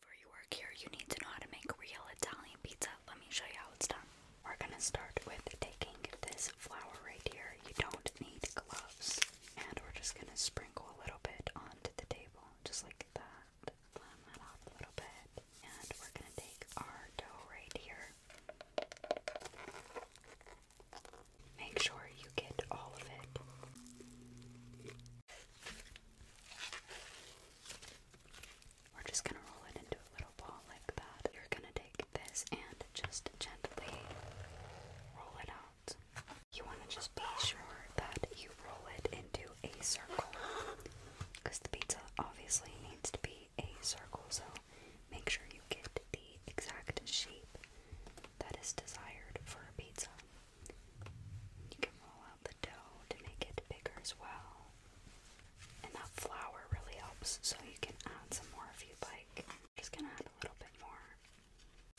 Before you work here, you need to know how to make real Italian pizza. Let me show you how it's done. We're gonna start with taking this flour right here. You don't need gloves. And we're just gonna sprinkle a little bit onto the table, just like that. Blend that off a little bit. And we're gonna take our dough right here. Make sure you get all of it. We're just going to roll it into a little ball like that. You're going to take this and just gently roll it out. You want to just be sure that you roll it into a circle because the pizza obviously needs to be a circle, so make sure you get the exact shape that is desired for a pizza. You can roll out the dough to make it bigger as well. And that flour really helps, so you can add some more if you'd like. just gonna add a little bit more.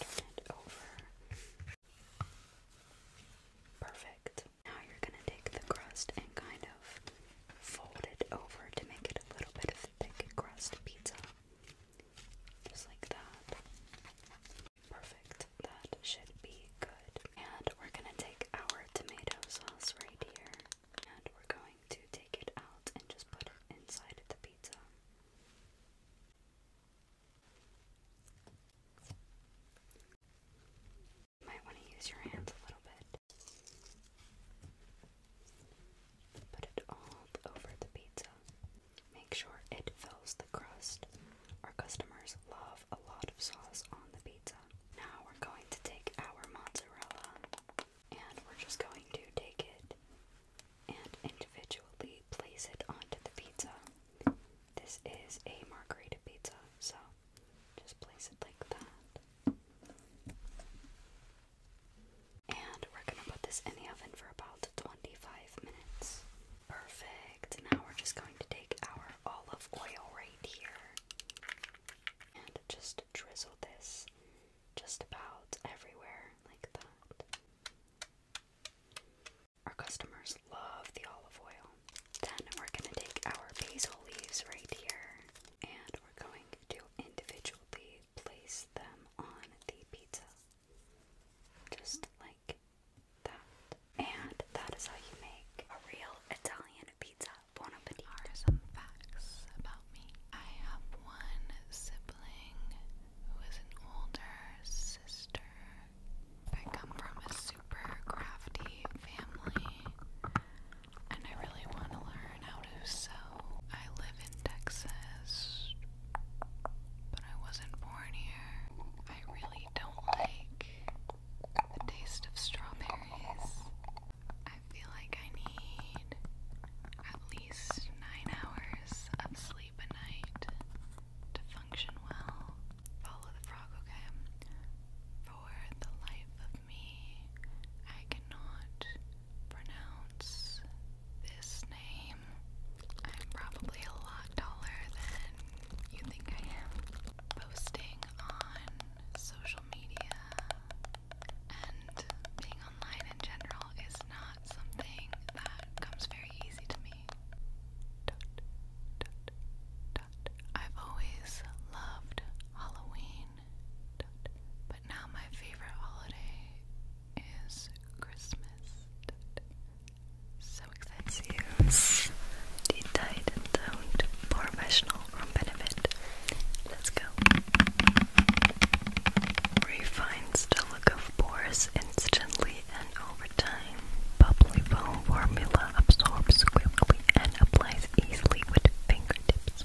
Turn it over. Perfect. Now you're gonna take the crust and kind of fold it over to make it a little bit of thick crust pizza. Just like that. Perfect. That should be good. And we're gonna take our tomato sauce right here. And we're going to take it out and just put it inside the pizza. might want to use your hands a little bit. Put it all over the pizza. Make sure it fills the crust. Our customers love a lot of sauce on the pizza. Now we're going to take our mozzarella and we're just going to take it and individually place it onto the pizza. This is a margarita pizza, so just place it like that. And we're gonna put this in the oven for about 25 minutes. Perfect. Perfect. Now we're just going to take our olive oil right here and just drizzle this just about everywhere like that. Our customers love the olive oil. Then we're going to take our basil leaves right here and we're going to individually place them on the pizza. Just like and that is how you make a real Italian pizza. Bon appetit. Are some facts about me. I have one sibling who is an older sister. I come from a super crafty family, and I really want to learn how to sew. I live in Texas, but I wasn't born here. I really don't like the taste of strawberries. I feel like I need at least nine hours of sleep a night to function well. Follow the frog, okay? For the life of me, I cannot pronounce this name. I'm probably a lot taller than you think I am posting on social media and being online in general is not something that comes very easy to me. I've always loved Halloween, but now my favorite holiday is Christmas so expensive. The Titan Toned Professional from Benefit. Let's go. Refines the look of pores instantly and over time. Bubbly foam formula absorbs quickly and applies easily with fingertips.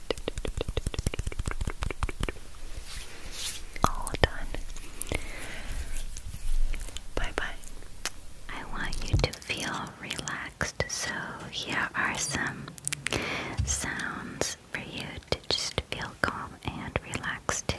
All done. Bye bye. I want you to feel relaxed, so here are some sounds for you to just feel calm and relaxed too.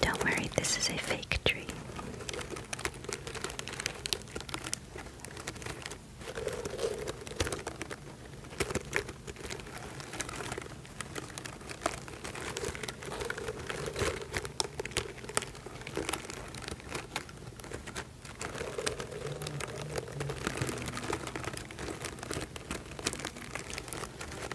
Don't worry, this is a fake tree.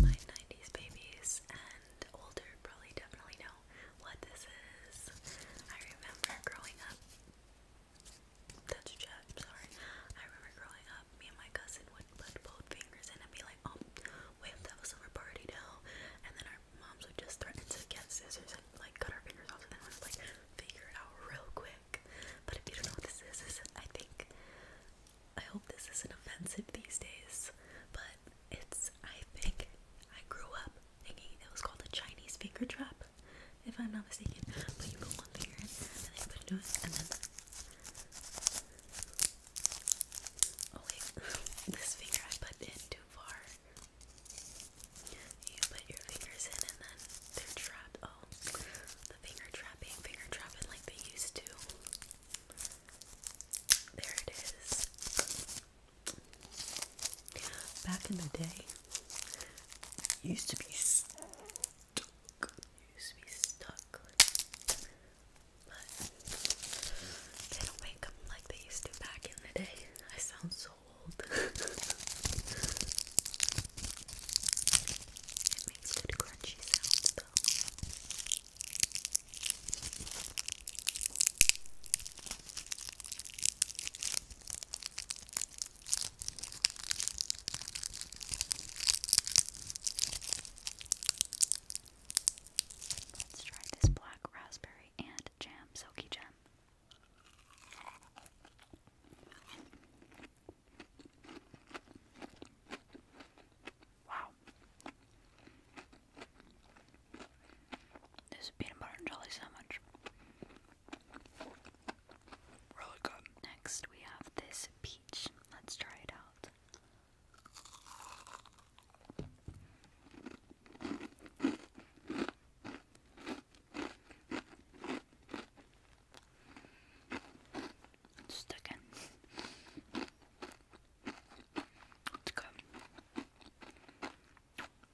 My 90s babies and older probably definitely know what this is. I remember growing up that's a jab, sorry. I remember growing up, me and my cousin would put both fingers in and be like, oh, we have to summer party now. And then our moms would just threaten to get scissors and like cut our fingers off. So then we would like figure it out real quick. But if you don't know what this is, I think, I hope this isn't offensive these days. But it's, I think, I grew up thinking it was called a Chinese finger trap if I'm not mistaken. you put one finger and then put it and then. Oh wait, this finger I put in too far. You put your fingers in, and then they're trapped. Oh, the finger trapping, finger trapping like they used to. There it is. Back in the day, used to be stuck. You used to be stuck. But they don't make them like they used to back in the day. I sound so old. it makes good crunchy sounds though. Let's try this black raspberry and jam, silky jam. Wow. This peanut butter and jelly sandwich. Really good. Next, we have this is peach. Let's try it out. It's sticking. It's good.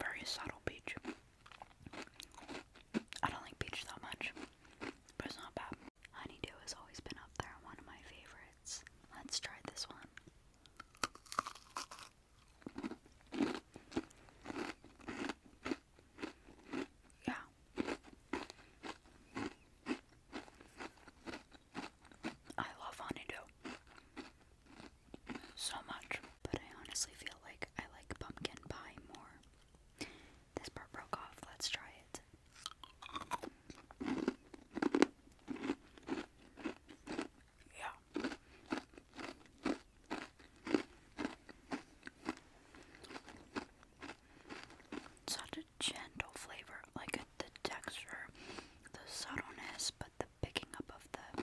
Very subtle peach. I don't like peach that much but it's not bad. Honeydew has always been up there, one of my favorites. Let's try this one. Yeah. I love honeydew so much, but I honestly feel like I like pumpkin pie more. This part broke off. Let's try it. Yeah. Such a gentle flavor, like the texture, the subtleness, but the picking up of the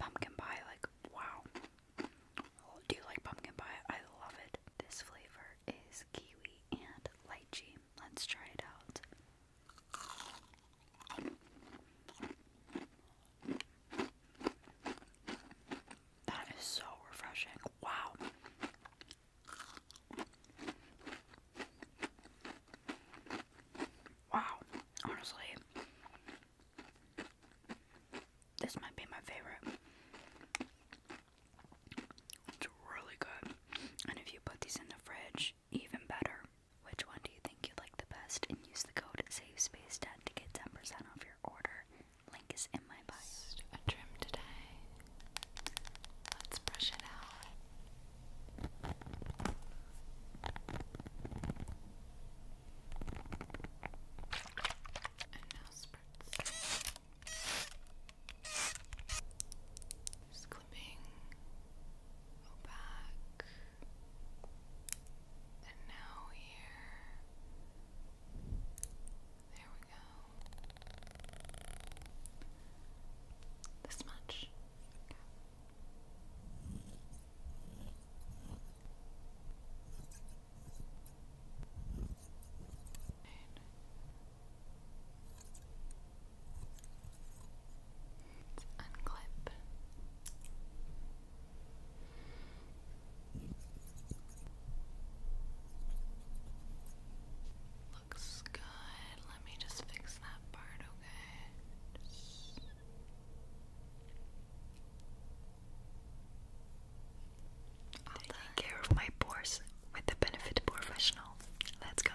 pumpkin pie, like wow. Do you like pumpkin pie? I love it. This flavor is kiwi and lychee. Let's try it out. That is so refreshing. Wow. Wow. Honestly, this might be my favorite. It's really good. And if you put these in the fridge, even better. Which one do you think you like the best? And use the code SAVESPACEDEAD to get 10% off your order. Link is in my bio. a trim today. Let's brush it out. And now spritz. Just go back, and now here. There we go. This much. Let's unclip. Looks good. Let me just fix that part, okay? Just... I'll care of my pores with the benefit professional. Let's go.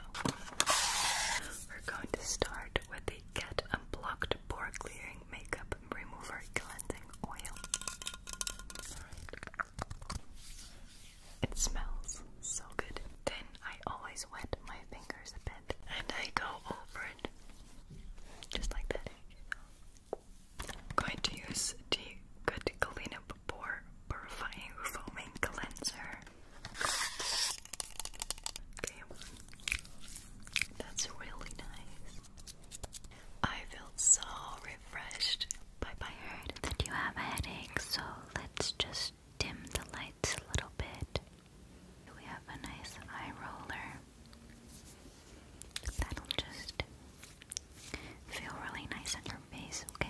We're going to start with the Get Unblocked Pore Clearing Makeup Remover Cleansing Oil. It smells so good. Then I always wet my fingers a bit and I go over it just like that. I'm going to use the Good Cleanup Pore Purifying Foaming Cleanser. that's really nice. I feel so refreshed by my heard that you have a headache, so let's just dim the lights a little bit. We have a nice eye roller that'll just feel really nice on your face, okay? Okay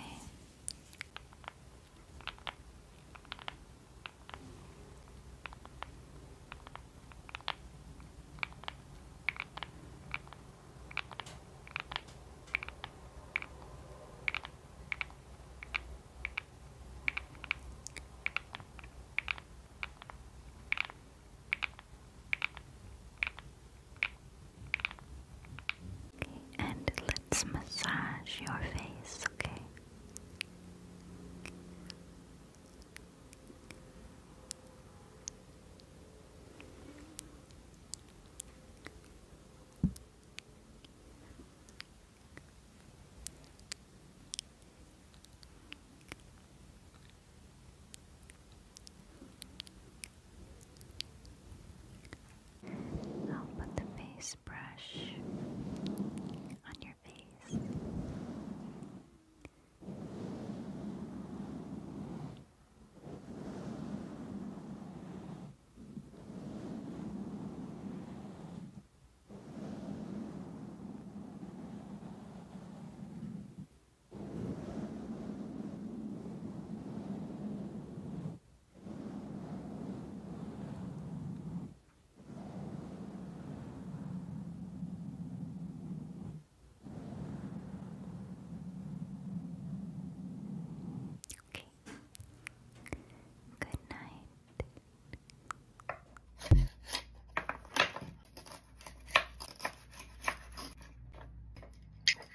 and let's massage your face, Okay. I'll put the face brush on your face. Okay. Good night.